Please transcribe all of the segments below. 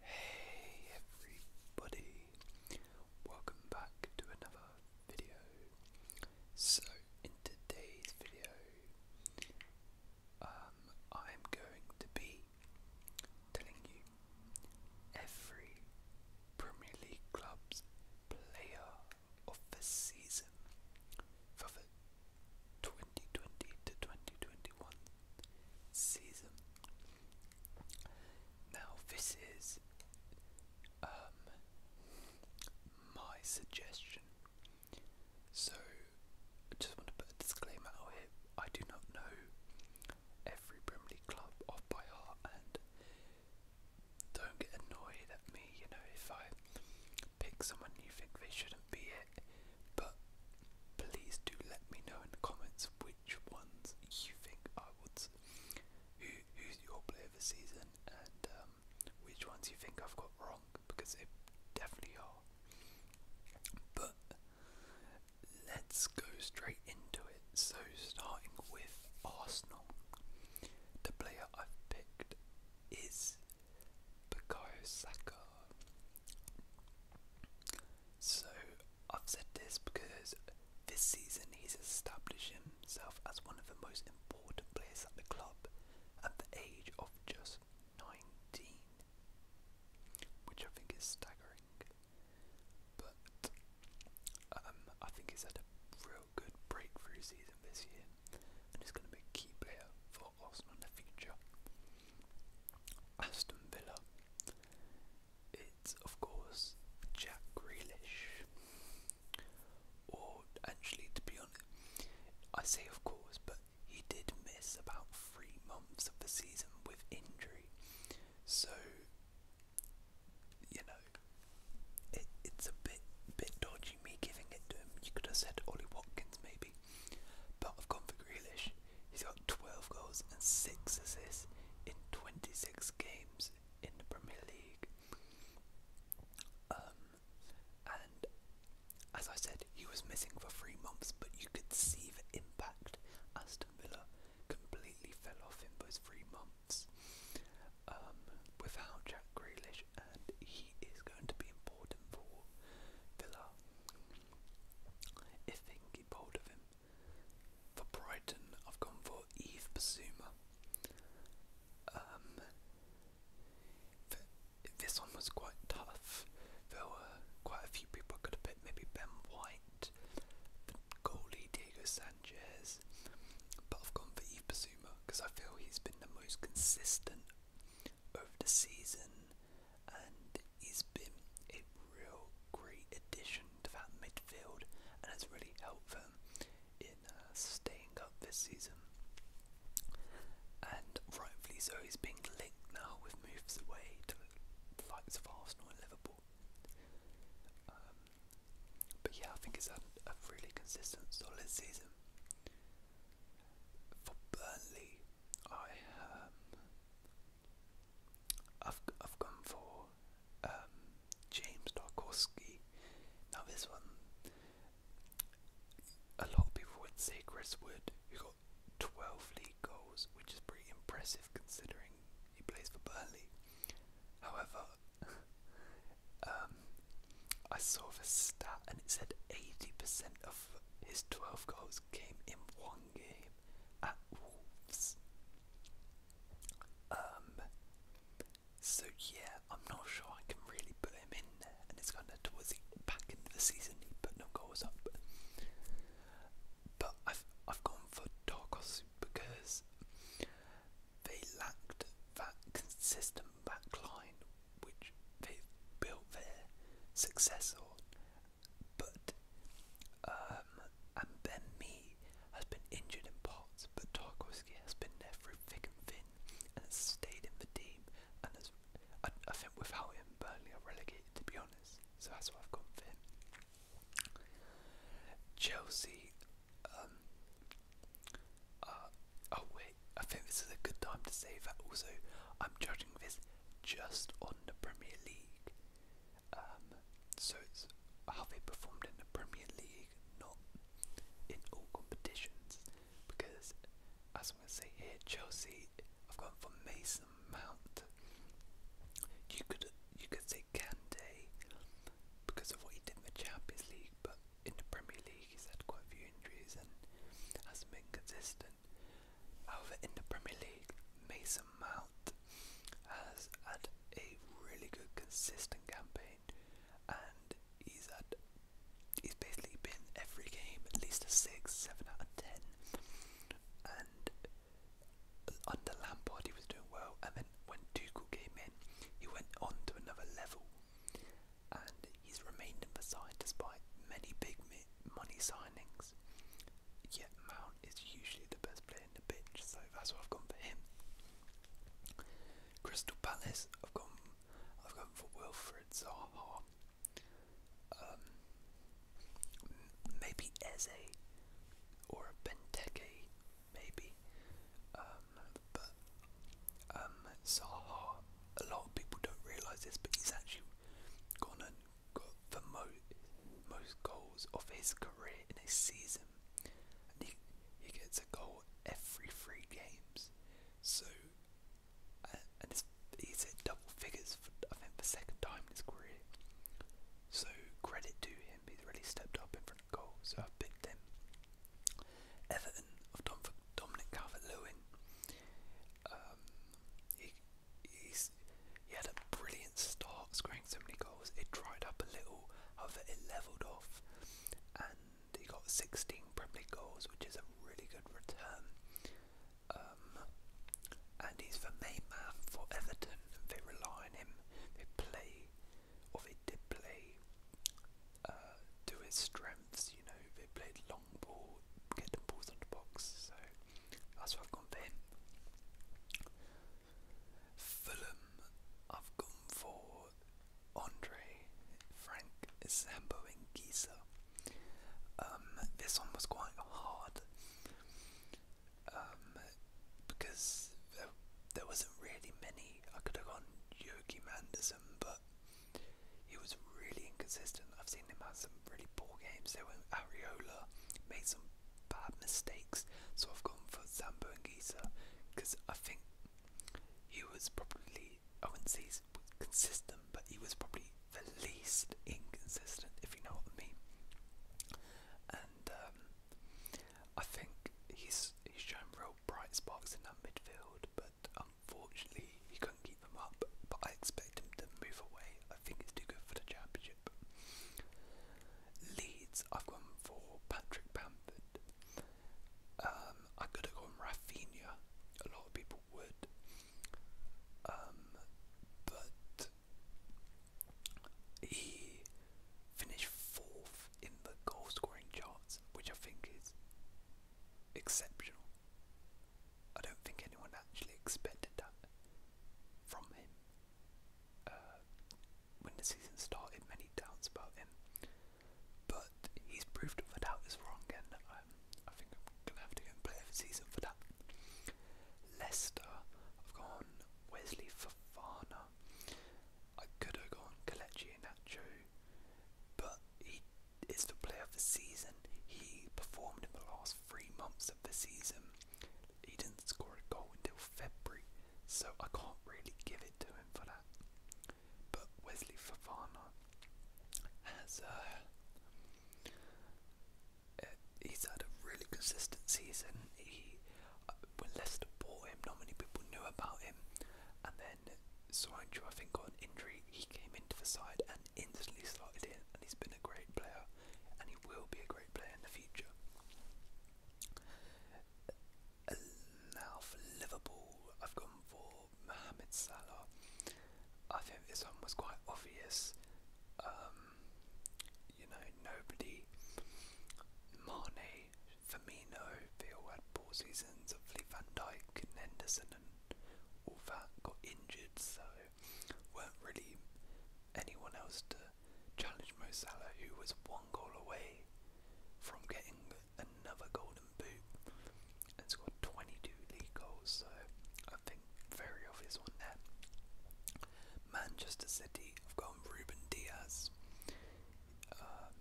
Hey everybody, welcome back to another video. So in today's video, um, I'm going to be telling you every Premier League club's player of the season for the 2020 to 2021 season. Now, this is um, my suggestion. So, I just want to put a disclaimer out here. I do not know every Brim League club off by heart, and don't get annoyed at me, you know, if I pick someone you think they shouldn't be but please do let me know in the comments which ones you think I would. Who, who's your player of the season, and um, which ones you think I've got wrong? Because they definitely are. But let's go straight into it. So starting with Arsenal, the player I've picked is Bukayo Saka. So I've said this because this season he's established himself as one of the most important players at the club at the age of just 19, which I think is staggering. But um, I think he's had a real good breakthrough season this year and he's going to be a key player for Arsenal in the future. Aston Villa. It's of course Jack Grealish. Or actually, to be honest, I say of course, but he did miss about three months of the season with injury. So, you know, it, it's a bit bit dodgy me giving it to him. You could have said Ollie Watkins, maybe. But I've Grealish. He's got 12 goals and 6 assists in 26 games in the Premier League. Um, and as I said, he was missing for three months, but you could see the impact Aston Villa completely fell off in those three months um, without Jack Grealish, and he is going to be important for Villa. Ifing pulled of him. For Brighton, I've gone for Eve Basuma. Um, this one was quite tough. There were quite a few people I could have picked. Maybe Ben White, the Diego Sanchez, but I've gone for Eve Basuma because I feel he's been the most consistent over the season, and he's been a real great addition to that midfield, and has really helped them in uh, staying up this season. And rightfully so, he's being linked now with moves away to the likes of Arsenal and Liverpool. Um, but yeah, I think it's a really consistent, solid season. For Burnley, I um, I've I've gone for um, James Tarkovsky. Now this one, a lot of people would say Chris Wood, who got 12 league goals, which is pretty impressive considering he plays for Burnley. However, um, I saw the stat and it said 80% of his 12 goals came in one game at Wolves. Um, so yeah, I'm not sure I can really put him in there, and it's kind of towards the back end of the season he put no goals up. But I've I've gone for Tarkos because they lacked that consistent backline which they've built their success on, but um, and Ben Me has been injured in parts, but Tarkowski has been there through thick and thin and has stayed in the team. And has, I, think without him, Burnley are relegated, to be honest. So that's what I've gone for him. Chelsea. Um, uh, wait, I think this is a good time to say that. Also, I'm judging this just on the Premier League. Um, so it's how they performed in the Premier League, not in all competitions. Because, as I'm going to say here, Chelsea have got for Mason Mount. You could you could say Kante because of what he did in the Champions League, but in the Premier League he's had quite a few injuries and hasn't been consistent. However, in the Premier League, Mason Mount has had a really good, consistent campaign, and he's had he's basically been every game at least a six, seven out of ten. And under Lampard, he was doing well, and then when Tuchel came in, he went on to another level, and he's remained in the side despite many big money signings six. Yet Mount is usually the best player in the pitch, so that's what I've gone for him. Crystal Palace, I've gone, I've gone for Wilfred Zaha. Um, maybe Eze or a Benteke, maybe. Um, but um, Zaha, a lot of people don't realise this, but he's actually gone and got the mo- most goals of his career in a season. And he, he gets a goal every three games. So, uh, and he's hit double figures, for, I think, the second time in his career. So, credit to him, he's really stepped up in front of goal. So, I've picked him. Everton of Dom- Dominic Calvert Lewin. Um, he, he's, he had a brilliant start, scoring so many goals. It dried up a little, however, it levelled off, and he got 16 Premier League goals, which is a really good return. Um, and he's the main man for Everton. They rely on him. They play, or they did play, uh, to his strengths. You know, they played long long ball, getting balls box. So that's what I've gone for Fulham, I've gone for Andre, Frank, Zambo, and Giza. Um, this one was quite hard um, because there, there wasn't really many. I could have gone Yogi Manderson, but he was really inconsistent. I've seen him have some really poor games. There when Ariola made some bad mistakes, so I've gone for Zambo and Giza because I think he was probably I would consistent, but he was probably the least inconsistent, if you know what I mean. And um, I think he's he's shown real bright sparks in that midfield, but Unfortunately, he couldn't keep them up, but I expect him to move away. I think it's too good for the championship. Leeds, I've gone for Patrick Bamford. Um, I could have gone Rafinha. A lot of people would. Um, but he finished fourth in the goal scoring charts, which I think is exceptional. I don't think anyone actually expected that from him. Uh, when the season started, many doubts about him, but he's proved that doubt is wrong, and um, I think I'm gonna have to go and play the season for that. Leicester, I've gone Wesley Fofana. I could have gone Kelechi Inacho, but he is the player of the season. He performed in the last three months of the season. He didn't score a goal until February, so I can't really give it to him for that. But Wesley Fofana has uh, uh he's had a really consistent season. He uh, when Leicester bought him, not many people knew about him, and then Soancho I think got an injury. He came into the side and instantly started in, and he's been a great player, and he will be a great player in the future. Now for Liverpool, I've gone for Mohamed Salah. I think this one was quite obvious. Um, you know, nobody, Mane, Firmino, they had poor seasons. Hopefully, Van Dijk Henderson all that got injured, so weren't really anyone else to challenge Mo Salah, who was one goal away from getting another golden boot and scored 22 league goals. So I think very obvious one there. Manchester City have gone Ruben Diaz. Um,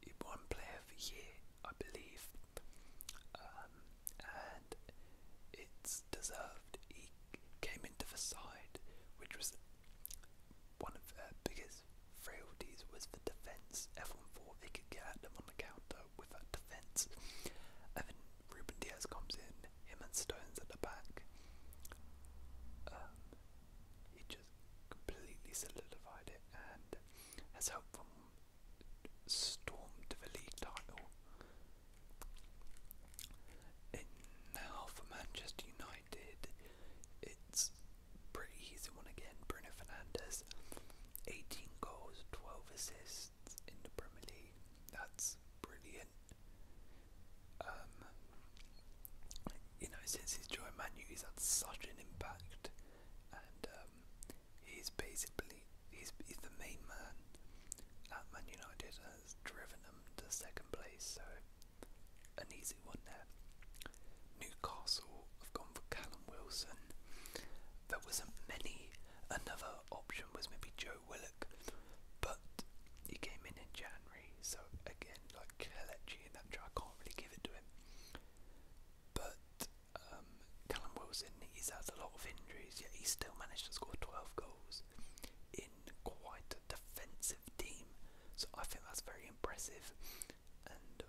he won Player of the Year I believe, um, and it's deserved. He came into the side, which was one of their biggest frailties was the defence. F one four, they could get at them on the counter with that defence, and then Ruben Diaz comes in, him and Stones at the back. Um, he just completely solidified it and has helped them storm the league title. And now for Manchester United, it's pretty easy one again. Bruno Fernandes, 18 goals, 12 assists in the Premier League. That's brilliant. Um, you know, since he's joined Man U, he's had such an impact, and um, he's basically he's, the main man at Man United has driven them to second place, so an easy one there. Newcastle have gone for Callum Wilson. There wasn't many. Another option was maybe Joe Willock, but he came in in January, so again, like Kelechi and that I can't really give it to him. But um, Callum Wilson, he's had a lot of injuries, yet he still managed to score 12 goals in quite a defensive team. So I think that's very impressive. And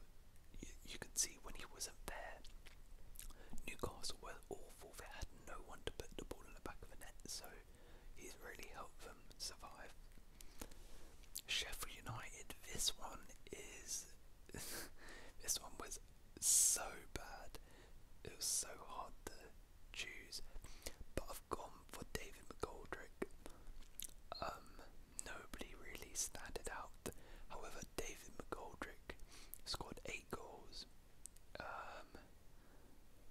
you, you can see when he wasn't there, Newcastle were awful. They had no one to put the ball in the back of the net, so he's really helped them survive. Sheffield United, this one is. this one was so bad. It was so hard to choose. But I've gone for David McGoldrick. Um, nobody really stood out. However, David McGoldrick scored eight goals. Um,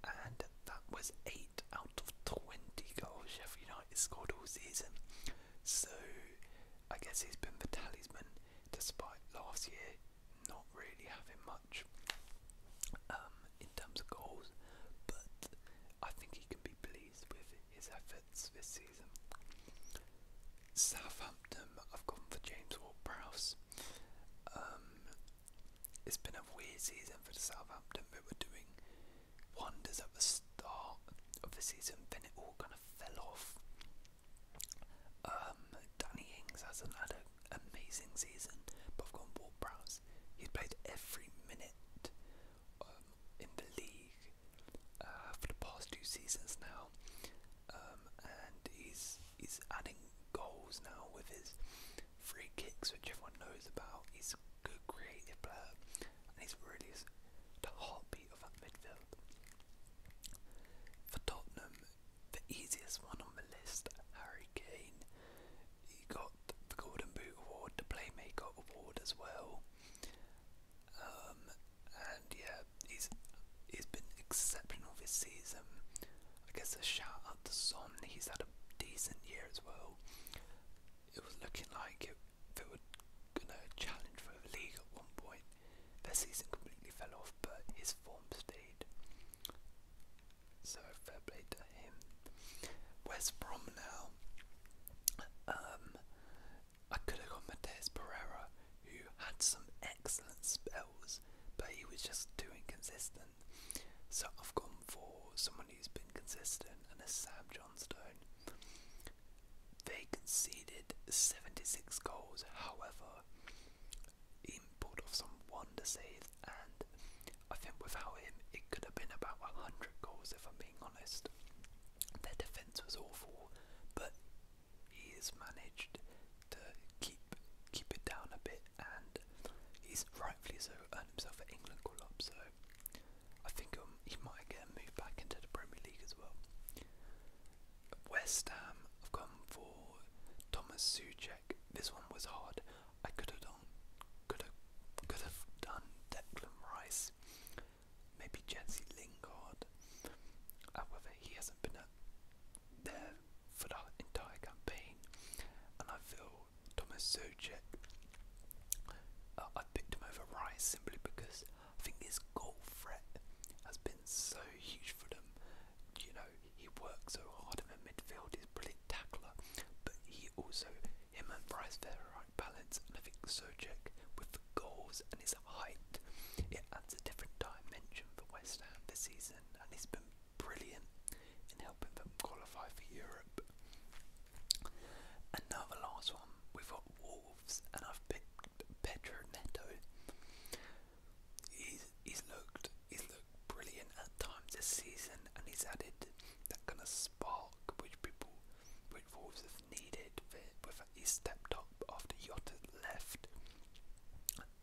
and that was eight out of twenty goals Sheffield United scored all season. So I guess he's been the talisman despite last year not really having much um, in terms of goals. But I think he can be pleased with his efforts this season. Southampton, I've gone for James Ward-Prowse. Um, it's been a weird season for Southampton. They were doing wonders at the start of the season, then it all kind of fell off. Um, Danny Ings has had an amazing season, but i He's played every minute um, in the league uh, for the past two seasons now, um, and he's he's adding goals now with his free kicks, which everyone knows about. He's a good creative player, and he's really the heartbeat of that midfield. For Tottenham, the easiest one on the list, Harry Kane. He got the Golden Boot Award, the Playmaker Award as well. Um, and yeah, he's he's been exceptional this season. I guess a shout out to Son. He's had a decent year as well. It was looking like it, they were gonna challenge for the league at one point, the season completely fell off, but his form stayed. So fair play to him. West Brom now. Um, I could have got Mateus Pereira, who had some excellent spells, but he was just too inconsistent. So I've gone for someone who's been consistent, and that's Sam Johnstone. They conceded 76 goals, however, input of some wonder saves, and I think without him, it could have been about 100 goals if I'm being honest. Their defence was awful, but he has managed to keep keep it down a bit, and he's rightfully so earned himself an England call up. So I think um, he might get a move back into the Premier League as well. West Ham have gone for Thomas Suchek. This one was hard. I could have done, could have, could have done Declan Rice, maybe Jesse Lingard. However, he hasn't been there for the entire campaign, and I feel Thomas Suchek. Uh, I picked him over Rice simply because I think his goal threat has been so huge for them. You know, he works so hard in the midfield, he's a brilliant tackler, but he also, him and Bryce, they're right balance, and I think Sojek with the goals and his height, it adds a different dimension for West Ham this season, and he's been brilliant in helping them qualify for Europe. And now the last one, we've got Wolves and I've picked Pedro Neto. He's, he's looked he's looked brilliant at times this season, and he's added that kind of spark which people, which Wolves have needed. With he stepped up after Yotta left.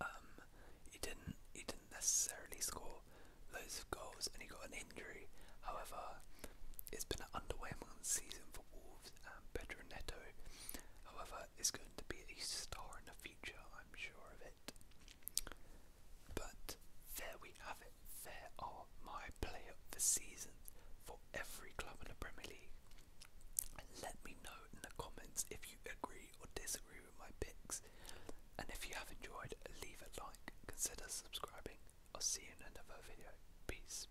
Um, he didn't he didn't necessarily score loads of goals, and he got an injury. However, it's been an underwhelming season for Wolves themselves um, Pedro Neto. However, is going to be a star in the future, I'm sure of it. But there we have it. There are my player of season for every club in the Premier League. let me know in the comments if you agree or disagree with my picks. And if you have enjoyed, leave a like, consider subscribing. I'll see you in another video. Peace.